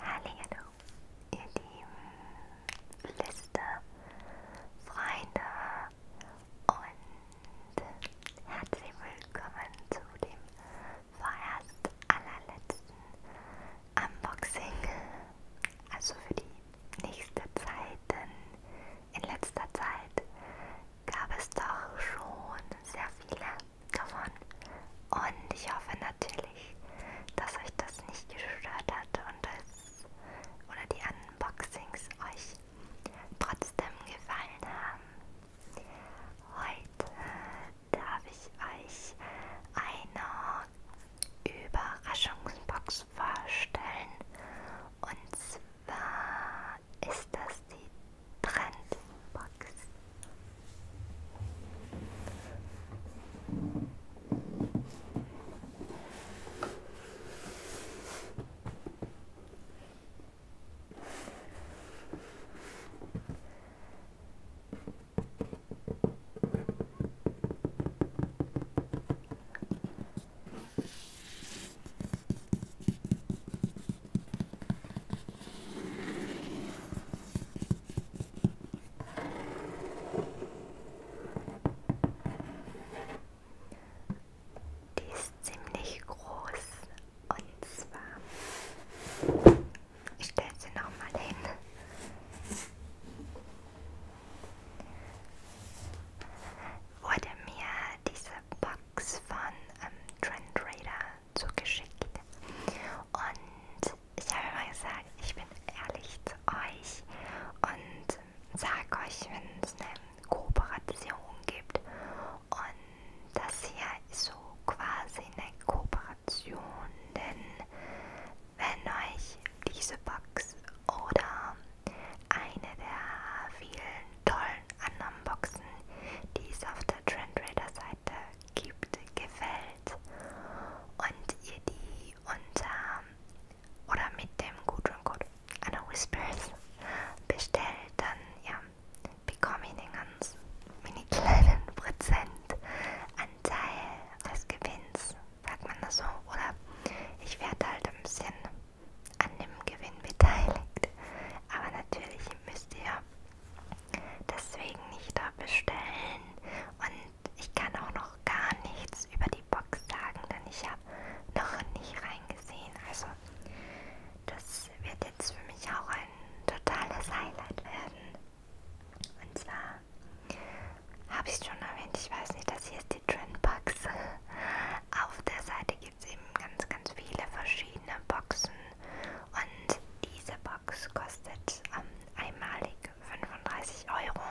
Hallo, ihr lieben Liste, Freunde und herzlich willkommen zu dem vorerst allerletzten Unboxing. Also für die nächste Zeit, denn in letzter Zeit gab es doch schon sehr viele davon. Und ich hoffe natürlich, dass euch das nicht gestört hat und es oder die Unboxings euch trotzdem gefallen haben. Heute darf ich euch eine Überraschungsbox vorstellen. Und zwar ist das die Trendbox. Die ist ziemlich groß und zwar, ich stelle sie nochmal hin. Wurde mir diese Box Links von ähm, Trend Raider zugeschickt. Und ich habe immer gesagt, ich bin ehrlich zu euch und sage euch, wenn es eine Kooperation gibt. Und das hier ist so quasi eine Kooperation, denn wenn euch diese Box oder eine der vielen tollen anderen Boxen, die es auf der Trendrader-Seite gibt, gefällt und ihr die unter oder mit dem Gutscheincode Anna Whispers bestellt, dann ja, bekomme ich einen ganz mini kleinen Prozentanteil des Gewinns, sagt man das so, oder ich werde halt ein bisschen an dem Gewinn beteiligt. Aber natürlich müsst ihr deswegen nicht da bestellen. Und ich kann auch noch gar nichts über die Box sagen, denn ich habe noch nicht reingesehen. Also das wird jetzt für mich auch ein totales Highlight werden. Und zwar habe ich es schon erwähnt, ich weiß nicht, das hier ist die Trendbox. Auf der Seite gibt es eben ganz, ganz viele verschiedene Boxen und diese Box kostet ähm, einmalig 35 Euro.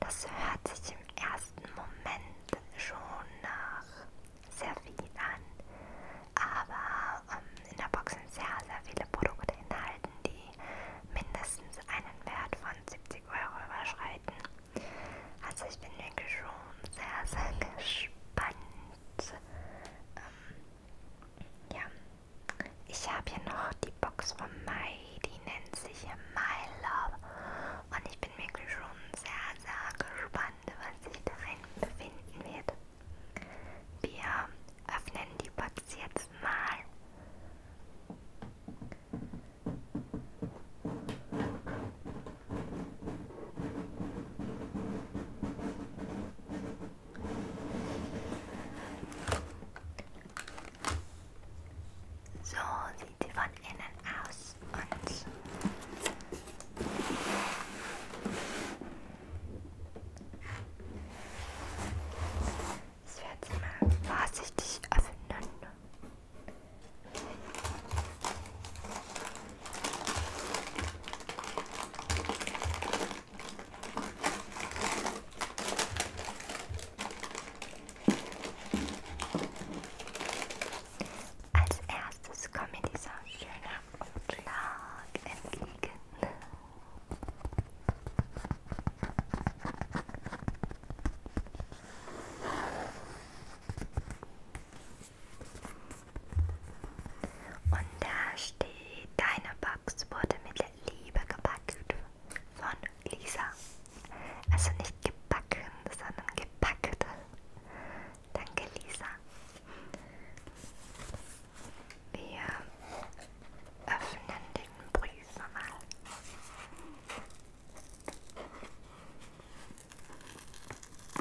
Das hört sich im ersten Moment schon nach sehr viel an, aber ähm, in der Box sind sehr, sehr viele Produkte enthalten, die mindestens einen Wert von 70 Euro überschreiten. Also ich bin wirklich schon sehr, sehr gespannt und ähm, ja, ich habe hier noch die Box von Mai, die nennt sich My Love und ich bin wirklich schon sehr, sehr gespannt, was sich darin befinden wird. Wir öffnen die Box jetzt mal. So sieht sie von innen aus und ich werde sie mal vorsichtig öffnen. Als erstes kommt mir dieser schöne Umschlag entgegen. Und da steht, deine Box wurde mit Liebe gepackt von Lisa. Also nicht gebacken, sondern gepackt. Danke Lisa. Wir öffnen den Brief mal.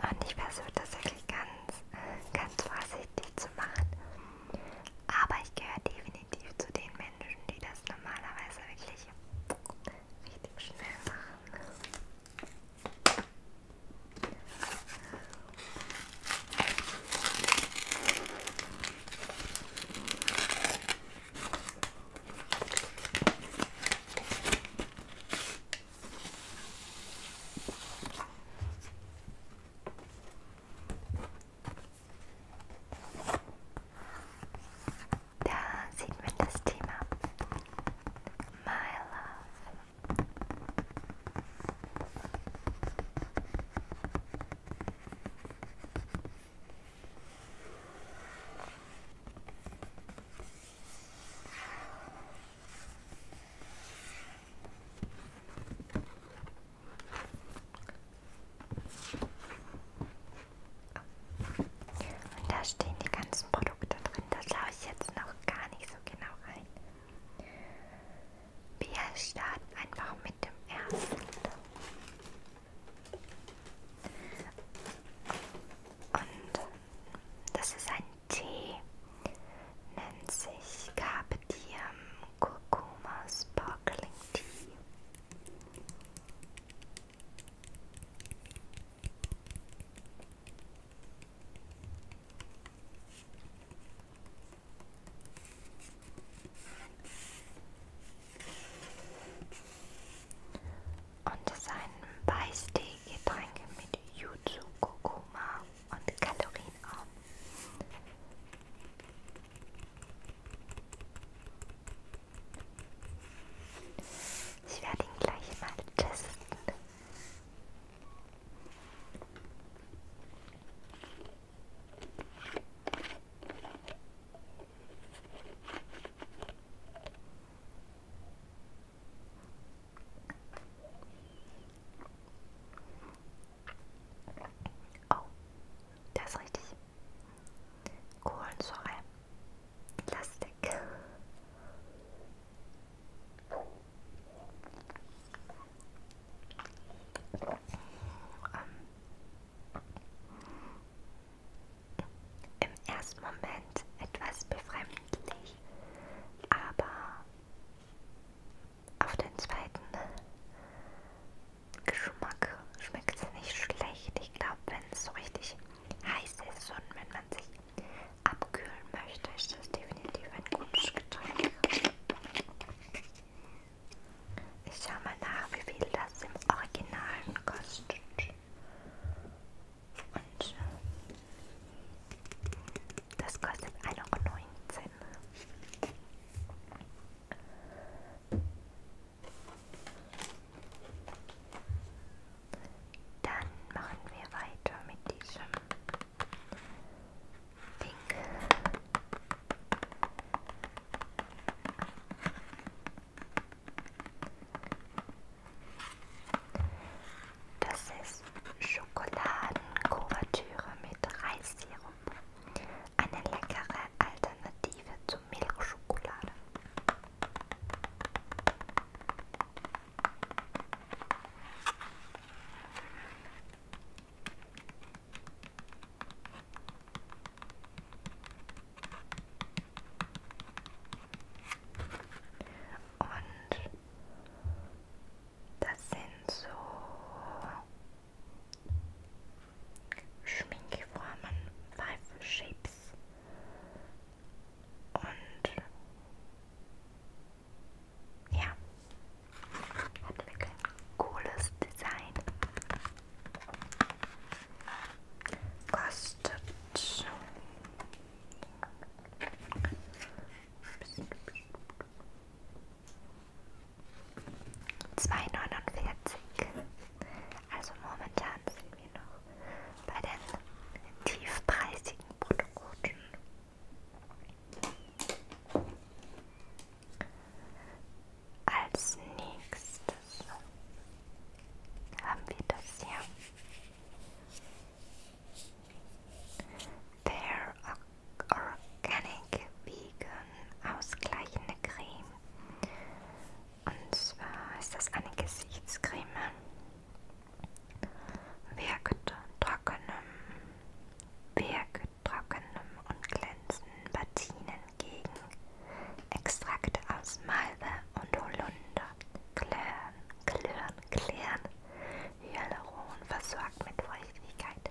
Und ich versuche das wirklich ganz, ganz vorsichtig zu machen. Aber ich gehöre definitiv zu den Menschen, die das normalerweise wirklich richtig schnell machen. Da sieht man das Thema My Love. Und da stehen die ganzen Produkte drin. Da schaue ich jetzt noch gar nicht so genau rein. Wir starten einfach mit dem ersten. Und das ist ein Tee, nennt sich Carpe Diem Kurkuma Sparkling Tea. Und es ist ein Beißtee-Getränk mit Yuzu, Kurkuma und Kalorienarm. Ich werde ihn gleich mal testen. Oh, das ist richtig. Kohlensäure. Plastik. Im ersten Moment etwas befremdlich, aber auf den zweiten Geschmack schmeckt es nicht schlecht. Ich glaube, wenn es so richtig heiß ist und wenn man sich abkühlen möchte, ist das definitiv ein gutes Getränk. Ich schaue mal nach, wie viel das im Originalen kostet. Und das kostet 1,19 Euro. Dann machen wir weiter mit diesem Ding. Das ist Schokoladenkuvertüre mit Reissirup. Eine leckere Alternative zur Milchschokolade. Und das sind so Schminkformen, Five Shapes. Und ja, hat wirklich ein cooles Design. Kostet zwei neunundvierzig. Also momentan sind wir noch bei den tiefpreisigen Produkten. Als nächstes haben wir das hier. Fair Organic Vegan Ausgleichende Creme. Und zwar ist das eine Gesichtscreme wirkte trockenem, wirktrockenem und glänzenden Platinen gegen Extrakte aus Malve und Holunder, Klirren, Klirren, Klirren, Hyaluron versorgt mit Feuchtigkeit.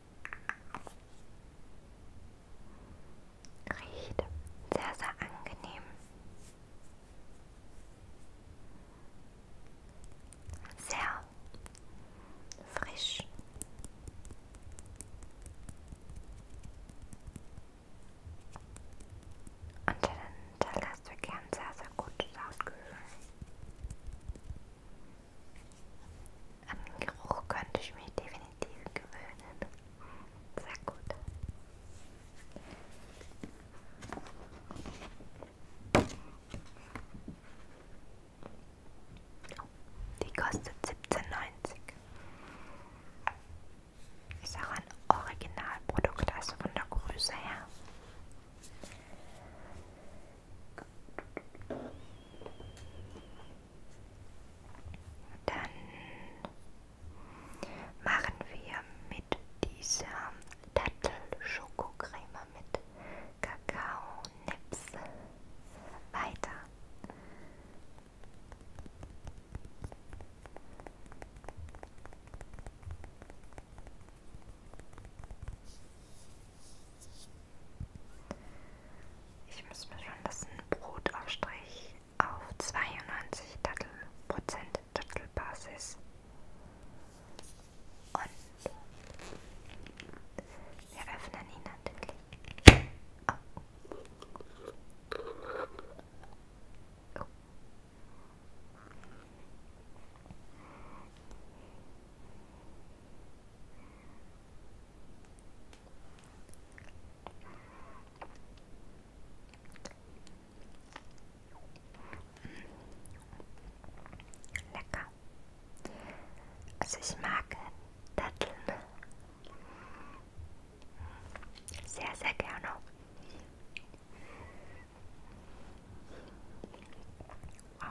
Riecht sehr, sehr angenehm. Sehr frisch. Und dann hinterlässt wirklich ein sehr, sehr gutes Ausgefühl. An den Geruch könnte ich mich definitiv gewöhnen. Sehr gut. Die kostet 17,90. Ist auch ein Originalprodukt, also von der Größe her. Dann machen wir mit dieser Dattel-Schokocreme mit Kakao-Nips weiter. Ich muss mir schon das Brotaufstrich auf 92 Dattel Prozent Dattelbasis und wir öffnen ihn natürlich. Oh. Oh. Lecker. Also ich mag Datteln sehr, sehr gerne. Wow.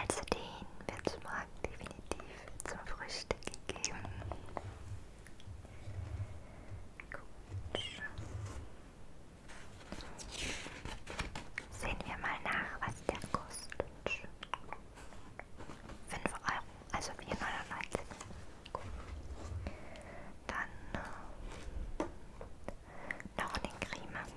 Also den wird es morgen definitiv zum Frühstück gegeben. Gut. Sehen wir mal nach, was der kostet. 5 Euro, also 4,99. Gut. Dann äh, Dornencreme. Ah. Oh.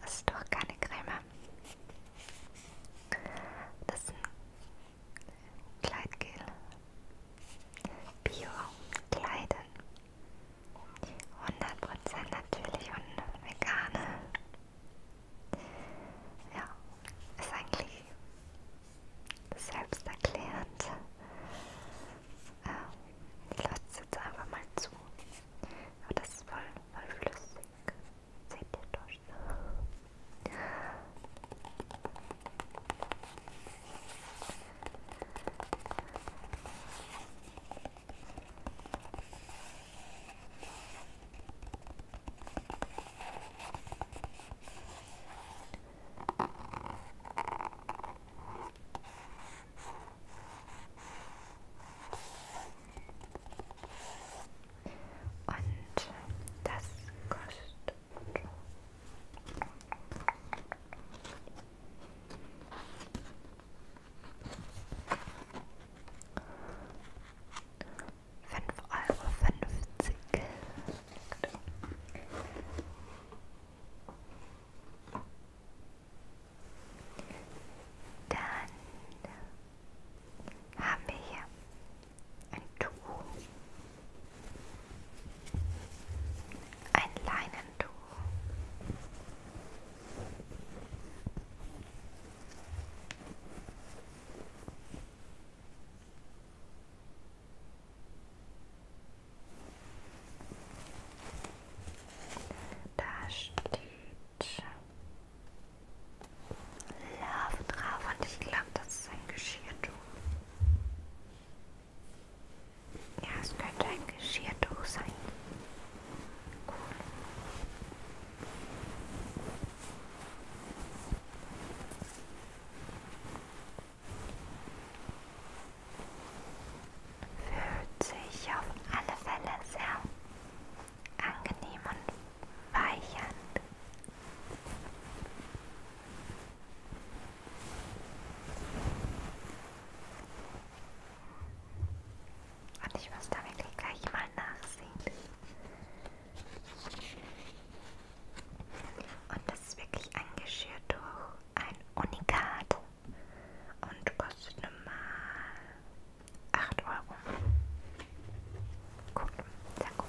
Das ist doch keine Creme. Das ist ein Kleidgel. Bio Kleiden. 100% natürlich und vegane ja, ist eigentlich selbsterklärend. Ähm, ich lasse es jetzt einfach mal zu. Aber das ist voll, voll flüssig. Seht ihr durch? Und das kostet Euro. Genau. Dann haben wir hier ein Tuch, ein Leinentuch. Da steht Love drauf und ich glaube, das ist ein Geschirrtuch. Ja, es könnte ein Geschirrtuch sein. Cool. Fühlt sich auf alle Fälle sehr angenehm und weich an. Und ich muss da wirklich gleich mal nachsehen. Und das ist wirklich angeschürt durch ein Unikat und kostet normal 8 Euro. Gut, sehr gut.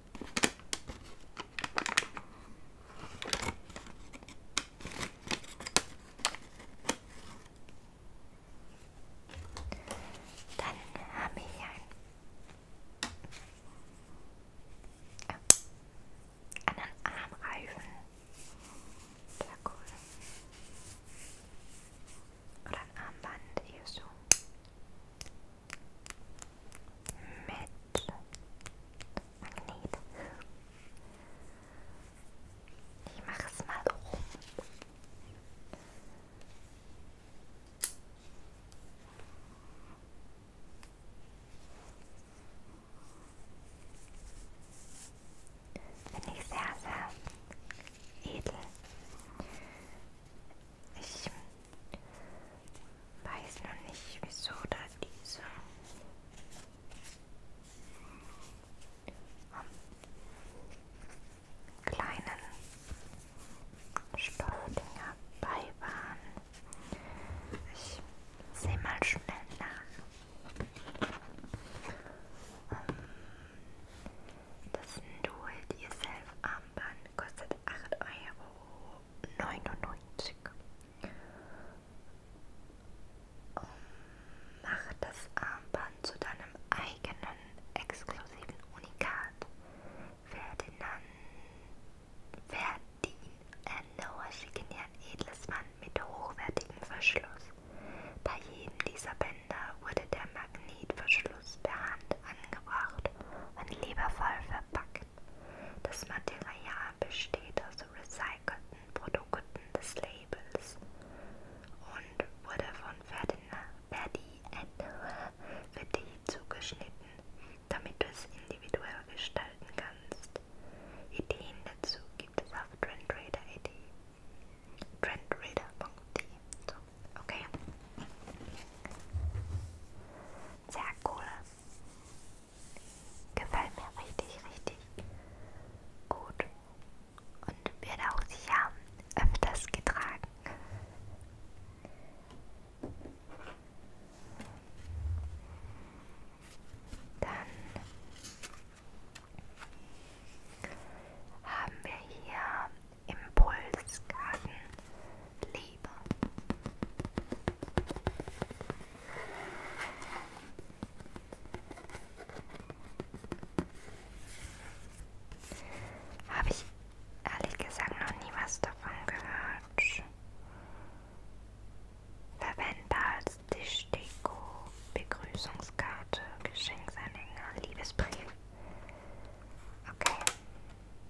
Dann haben wir hier einen, äh, ah. einen Armreifen. Sehr cool. Oder ein Armband, eher so mit Magnet. Ich mache es mal rum. Finde ich sehr, sehr edel. Ich Weiß noch nicht, wieso da diese. Kleinen Stoffdinger bei waren. Ich sehe mal schnell nach. Ähm, das ist ein Do-It-Yourself-Armband kostet 8,99 Euro. Ähm, mach das Armband zu deinem eigenen exklusiven Unikat. Ferdinand, Verdin Ernauer äh, Schickenjahr Edelsmann mit hochwertigem Verschluss. Bei jedem dieser Bänder wurde der Magnetverschluss per Hand angebracht und liebevoll verpackt. Das Material besteht aus also recycelten Produkten des Labels und wurde von Verdi für dich zugeschnitten, damit du es individuell gestalten kannst. Ideen dazu gibt es auf trendrader.de. Trendrader.de, so Okay. Sehr cool. Gefällt mir richtig, richtig gut. Und wird auch sicher öfters getragen. Dann haben wir hier Impulskarten Liebe. Habe ich ehrlich gesagt noch nie was davon gehört. Verwende als Tischdeko, Begrüßungskarte, Geschenksanhänger, Liebesbrief. Okay.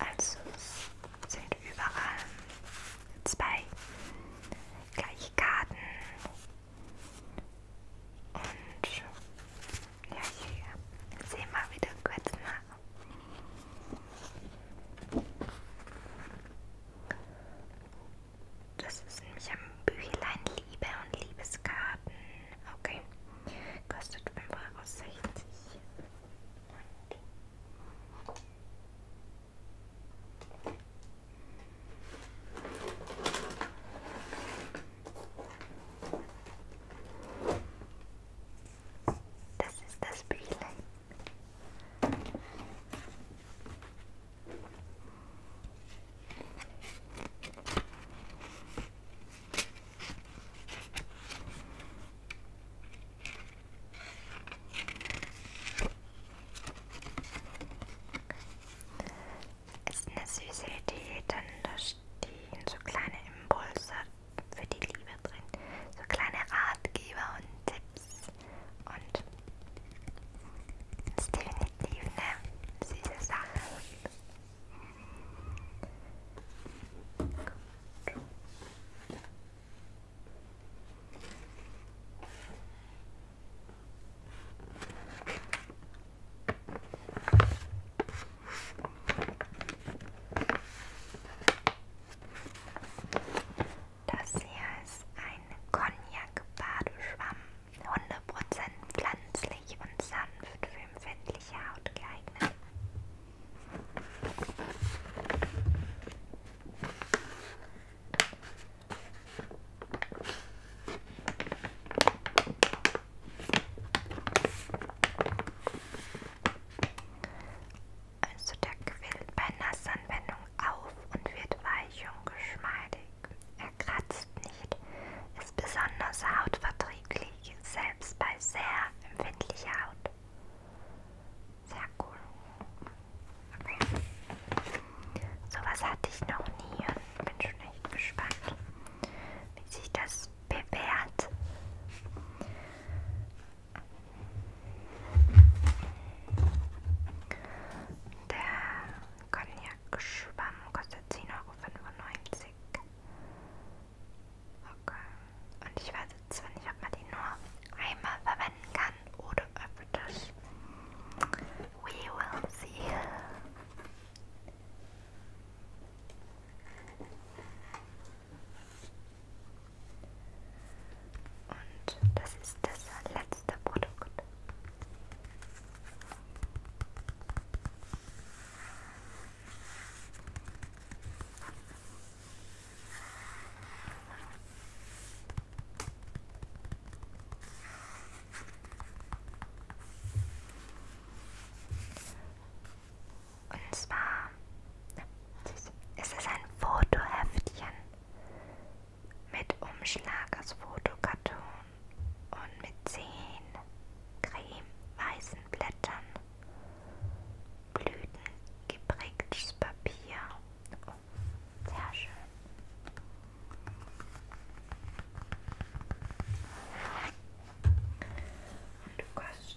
Also sind überall zwei gleiche Karten und ja, hier sehen wir wieder kurz nach. Das ist nämlich am Büchlein Liebe und Liebeskarten. Okay. Kostet 5,60 Euro. Das ist das Büchlein. Ist eine süße Idee, denn da stehen so kleine Impulse für die Liebe drin. So kleine Ratgeber und Tipps. Chips und das ist definitiv eine süße Sache. Gut. Das hier ist ein Cognac-Badeschwamm. 100% pflanzlich und sanft für empfindliche Haut geeignet also der Quill bei Nassanwendung auf und wird weich und geschmeidig. Er kratzt nicht, ist besonders hautverträglich, selbst bei sehr empfindlicher Haut. Sehr cool. Okay. Sowas hatte ich noch nie und bin schon echt gespannt, wie sich das bewährt. Der Cognac-Schwamm kostet 10,95 Euro. Okay. Und ich weiß jetzt zwar nicht, ob man die nur einmal verwenden kann oder öfters. We will see. Und das ist das letzte Produkt. Und zwar ist es ein Fotoheftchen. Mit Umschlag aus Fotokarton und mit zehn cremeweißen Blättern. Blüten geprägtes Papier. Oh, sehr schön. Und du kannst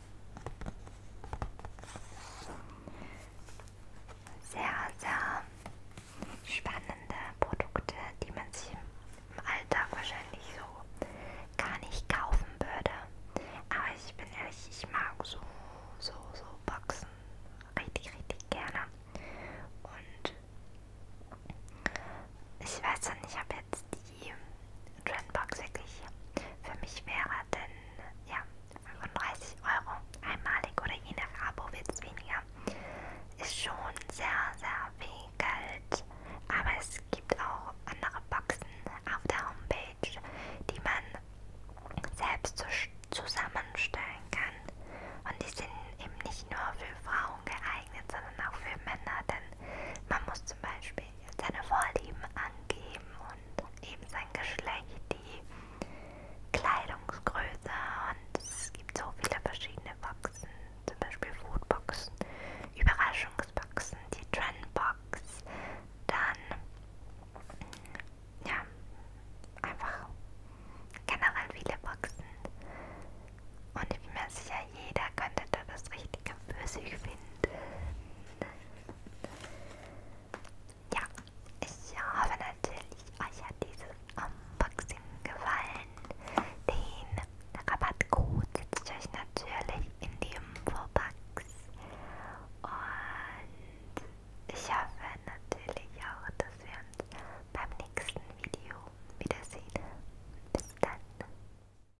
Sehr, sehr spannende Produkte, die man sich im Alltag wahrscheinlich so gar nicht kaufen würde. Aber ich bin ehrlich, ich mag so, so, so Boxen richtig, richtig gerne. Und ich weiß dann, ich habe jetzt die Trendbox wirklich für mich wäre, denn ja, 35 Euro einmalig oder je nach Abo wird es weniger. Ist schon sehr, sehr viel Geld, aber es gibt auch andere Boxen auf der Homepage, die man selbst zusammenstellen kann. Und die sind eben nicht nur für Frauen geeignet, sondern auch für Männer, denn man muss zum Beispiel seine Vorlieben angeben und eben sein Geschlecht, die Kleidungsgröße und es gibt so viele verschiedene Boxen, zum Beispiel Foodboxen, Überraschungsboxen, die Trendbox, dann ja, einfach generell viele Boxen und ich bin mir sicher, jeder könnte da das Richtige für sich finden. Ja, ich hoffe natürlich, euch hat dieses Unboxing gefallen. Den Rabattcode setze ich euch natürlich in die Infobox. Und ich hoffe natürlich auch, dass wir uns beim nächsten Video wiedersehen. Bis dann.